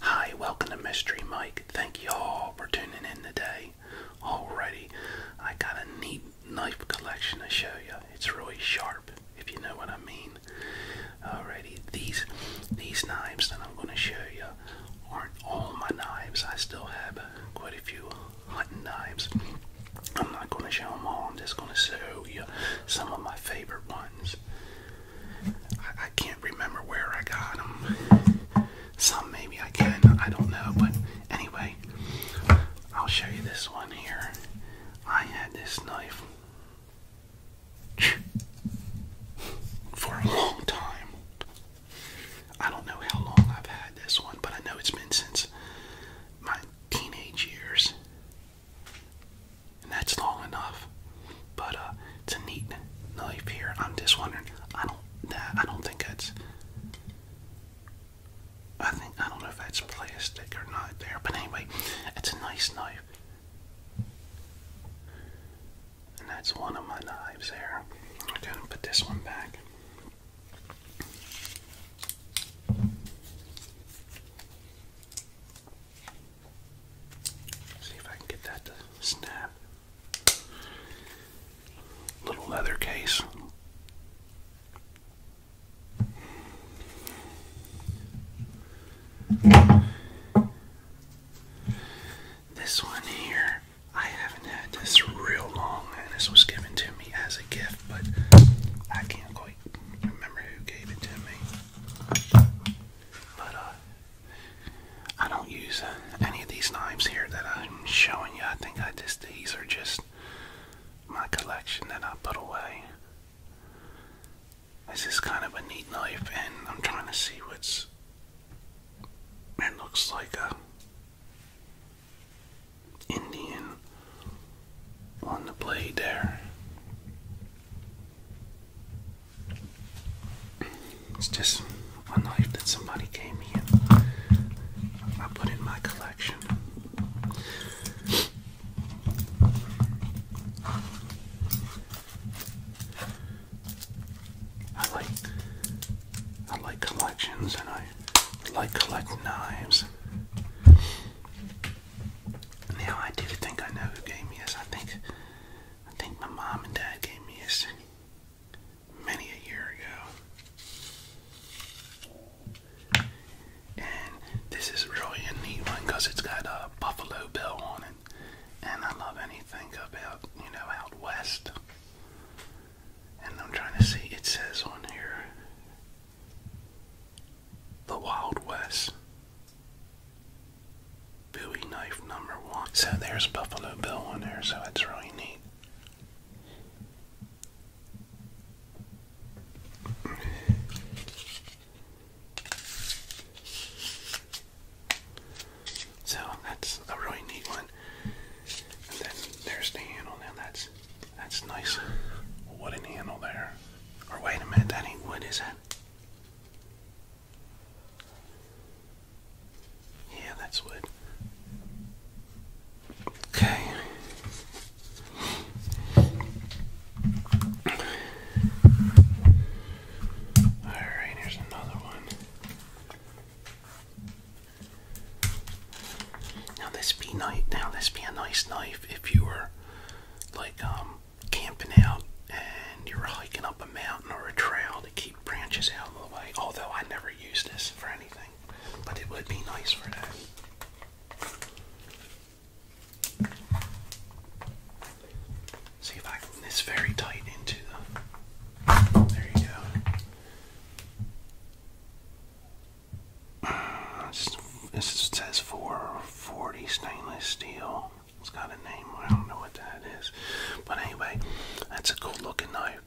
Hi, welcome to Mystery Mike. Thank you all for tuning in today. Alrighty, I got a neat knife collection to show you. It's really sharp, if you know what I mean. Alrighty, these these knives that I'm going to show you aren't all my knives. I still have quite a few hunting knives. I'm not going to show them all. I'm just going to show you some of my favorite ones. I, can't remember where I got them. Some maybe I can, I don't know. But anyway, I'll show you this one here. I had this knife for a long time. I don't know how long I've had this one, but I know it's been since my teenage years and that's long enough. But uh, it's a neat knife here. I'm just wondering. I don't. That I don't think that's. I think I don't know if that's plastic or not there. But anyway, it's a nice knife. And that's one of my knives there. I'm gonna put this one back. See if I can get that to snap. Little leather case. This one here, I haven't had this real long, and this was given to me as a gift, but I can't quite remember who gave it to me. But uh, I don't use uh, any of these knives here that I'm showing you. I think I just these are just my collection that I put away. This is kind of a neat knife, and I'm trying to see what's. It looks like a Indian on the blade there. It's just a knife that somebody gave me and I put in my collection. I like I like collections and I like collect knives. Now I do think I know who gave me this. I think I think my mom and dad gave me this many a year ago. And this is really a neat one because it's got a buffalo bill on it. And I love anything about, you know, out west. And I'm trying to see, it says on here the Wild West. Bowie knife number one. So there's Buffalo Bill on there, so it's really neat. So that's a really neat one. And then there's the handle. Now that's that's nice wooden handle there. Or wait a minute, that ain't wood, is it? Yeah, that's what. Okay. Alright, here's another one. Now this be night now this be a nice knife if you were like um camping out and you are hiking up a mountain or a trail to keep branches out of the way, although I never use this for anything, but it would be nice for that. See if I can. this very tight into the. There you go. Uh, this, this says 440 stainless steel. It's got a name. I don't know what that is. But anyway, that's a cool looking knife.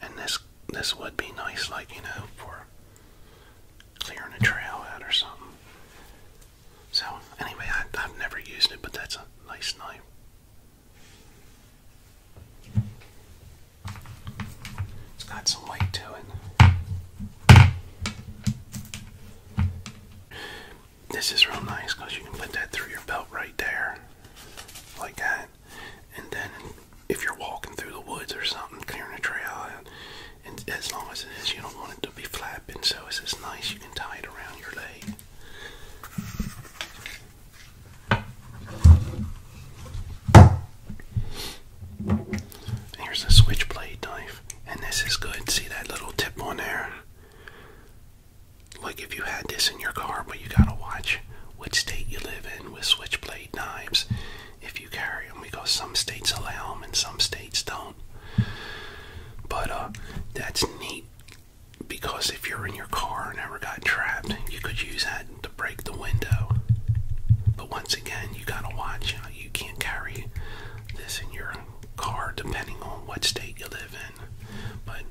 And this this would be nice, like you know, for clearing a trail out or something. So anyway, I, I've never used it, but that's a nice knife. It's got some weight to it. This is real nice because you can put that through your belt right there, like that. And then if you're walking through the woods or something, clearing a trail and as long as it is, you don't want it to be flapping. So it's just nice. You can tie it around your leg. Here's a switchblade knife, and this is good. See that little tip on there? Like if you had this in your car, but you gotta watch which state you live in with switchblade knives if you carry them because some states allow them and some states don't. But uh, that's neat because if you're in your car and ever got trapped, you could use that to break the window. But once again, you gotta watch. You can't carry this in your car depending on what state you live in. But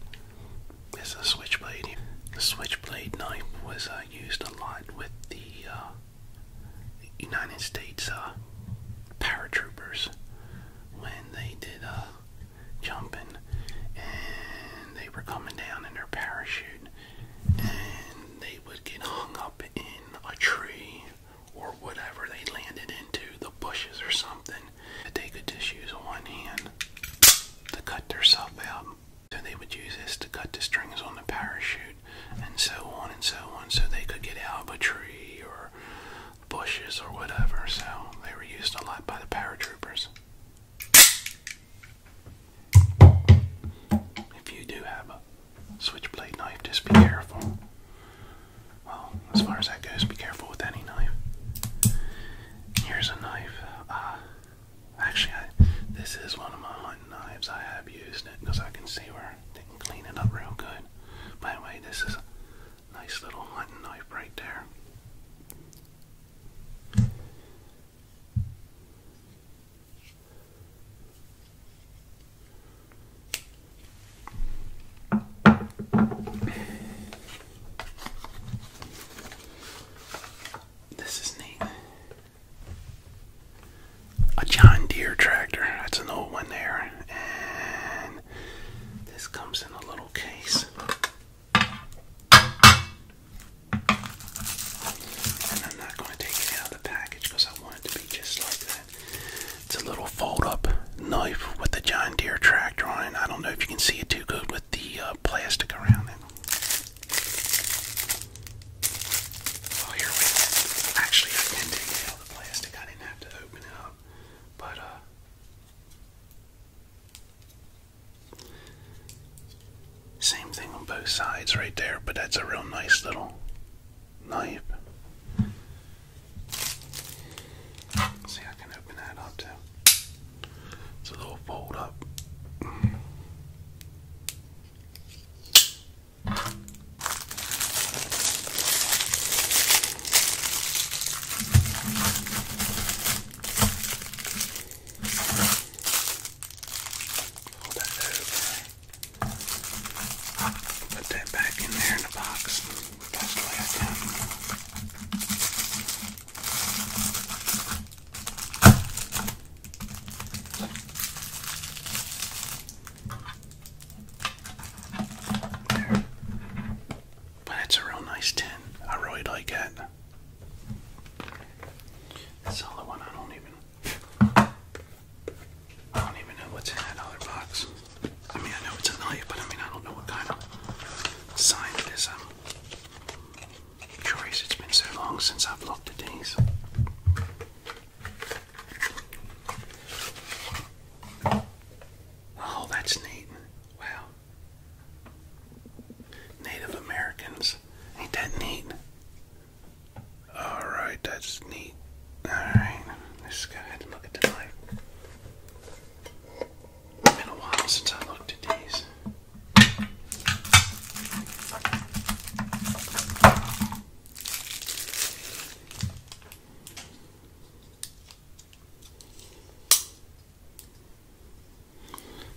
it's a switchblade. The switchblade knife was uh, used a lot with the uh, United States uh, paratroopers when they did uh, jumping and they were coming down in their parachute and they would get hung up in a tree or whatever they landed into, the bushes or something, that they could just use one hand to cut themselves out. So they would use this to cut the strings on the parachute and so on and so on so they could get out of a tree or bushes or whatever. So they were used a lot by the paratroopers. If you do have a switchblade knife, just be careful. Well, as far as that goes, be careful with any knife. Here's a knife. Uh, actually, this is one of my hunting knives. I have used it because I can see where they can clean it up real good. By the way, this is a nice little hunting knife right there. This is neat. A John Deere tractor. That's an old one there. this comes in a little case. And I'm not going to take it out of the package because I want it to be just like that. It's a little fold up knife with the John Deere tractor on it. I don't know if you can see it too good with the uh, plastic around it. Oh, here we go. Actually, I can take out the plastic. I didn't have to open it up. But, uh, same thing on both sides right there, but that's a real nice little knife. See, I can open that up too. It's a little fold up. Hold that over. Put that back in there in the box. That's the way I But it's a real nice tin. I really like it. That's one I don't even. I don't even know what's in that other box. I mean, I know it's a knife, but I mean, I don't know what kind of sign it is. I'm curious. its i am it has been so long since I've looked at these. Oh, that's neat. Wow. Native Americans. Ain't that neat? Alright, that's neat. Alright, let's go ahead and look at the light. been a while since I looked at these.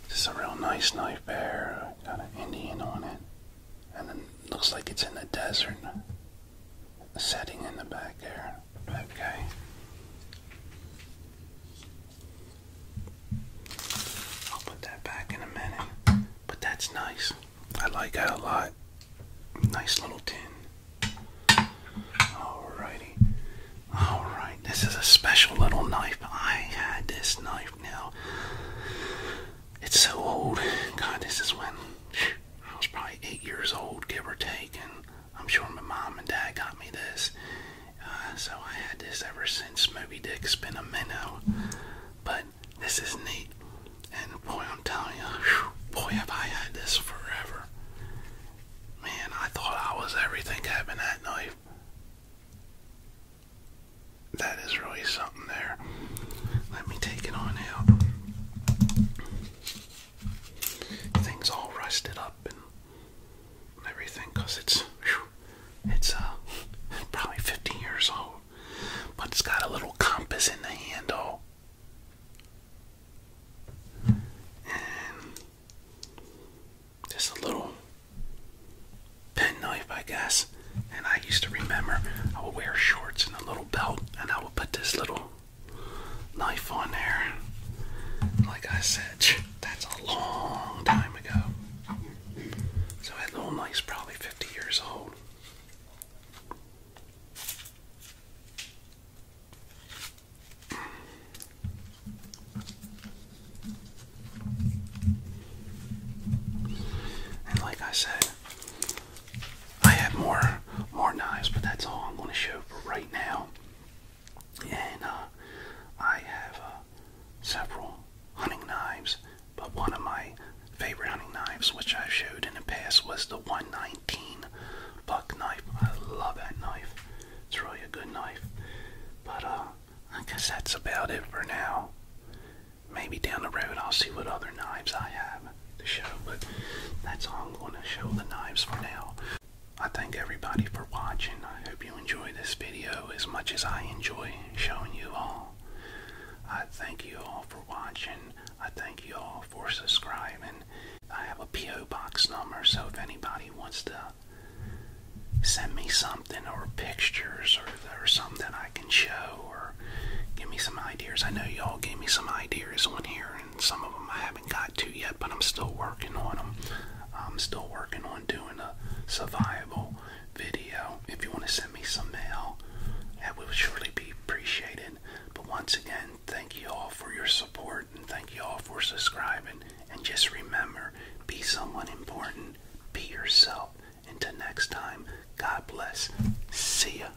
This is a real nice knife There, got an Indian on it, and it looks like it's in the desert setting in the back there. Okay. I'll put that back in a minute. But that's nice. I like that a lot. Nice little tin. Alrighty. Alright, this is a special little knife. I had this knife now. It's so old. God, this is when. I was probably eight years old, give or take, and I'm sure my mom and dad got me this. Uh, so I had this ever since Moby Dick's been a minnow. But this is neat. And boy, I'm telling you, whew, boy, have I had this forever. Man, I thought I was everything having that knife. That is really something there. Let me take it on out things all rusted up and everything because it's it's uh probably 15 years old but it's got a little compass in the handle and just a little penknife I guess and I used to remember I would wear shorts and a little belt and I would put this little knife on there. Like I said, that's a long time ago. So that little knife's probably 50 years old. And like I said, I have more more knives, but that's all I'm going to show for right now. And uh, I have uh, several hunting knives, but one of my favorite hunting knives, which i showed in the past, was the 119 buck knife. I love that knife. It's really a good knife. But uh, I guess that's about it for now. Maybe down the road I'll see what other knives I have the show, but that's all I'm going to show the knives for now. I thank everybody for watching. I hope you enjoy this video as much as I enjoy showing you all. I thank you all for watching. I thank you all for subscribing. I have a P.O. box number, so if anybody wants to send me something or pictures or, something I can show or give me some ideas, I know y'all gave me some ideas on here some of them I haven't got to yet, but I'm still working on them. I'm still working on doing a survival video. If you want to send me some mail, that would surely be appreciated. But once again, thank you all for your support and thank you all for subscribing. And just remember, be someone important, be yourself. Until next time, God bless. See ya.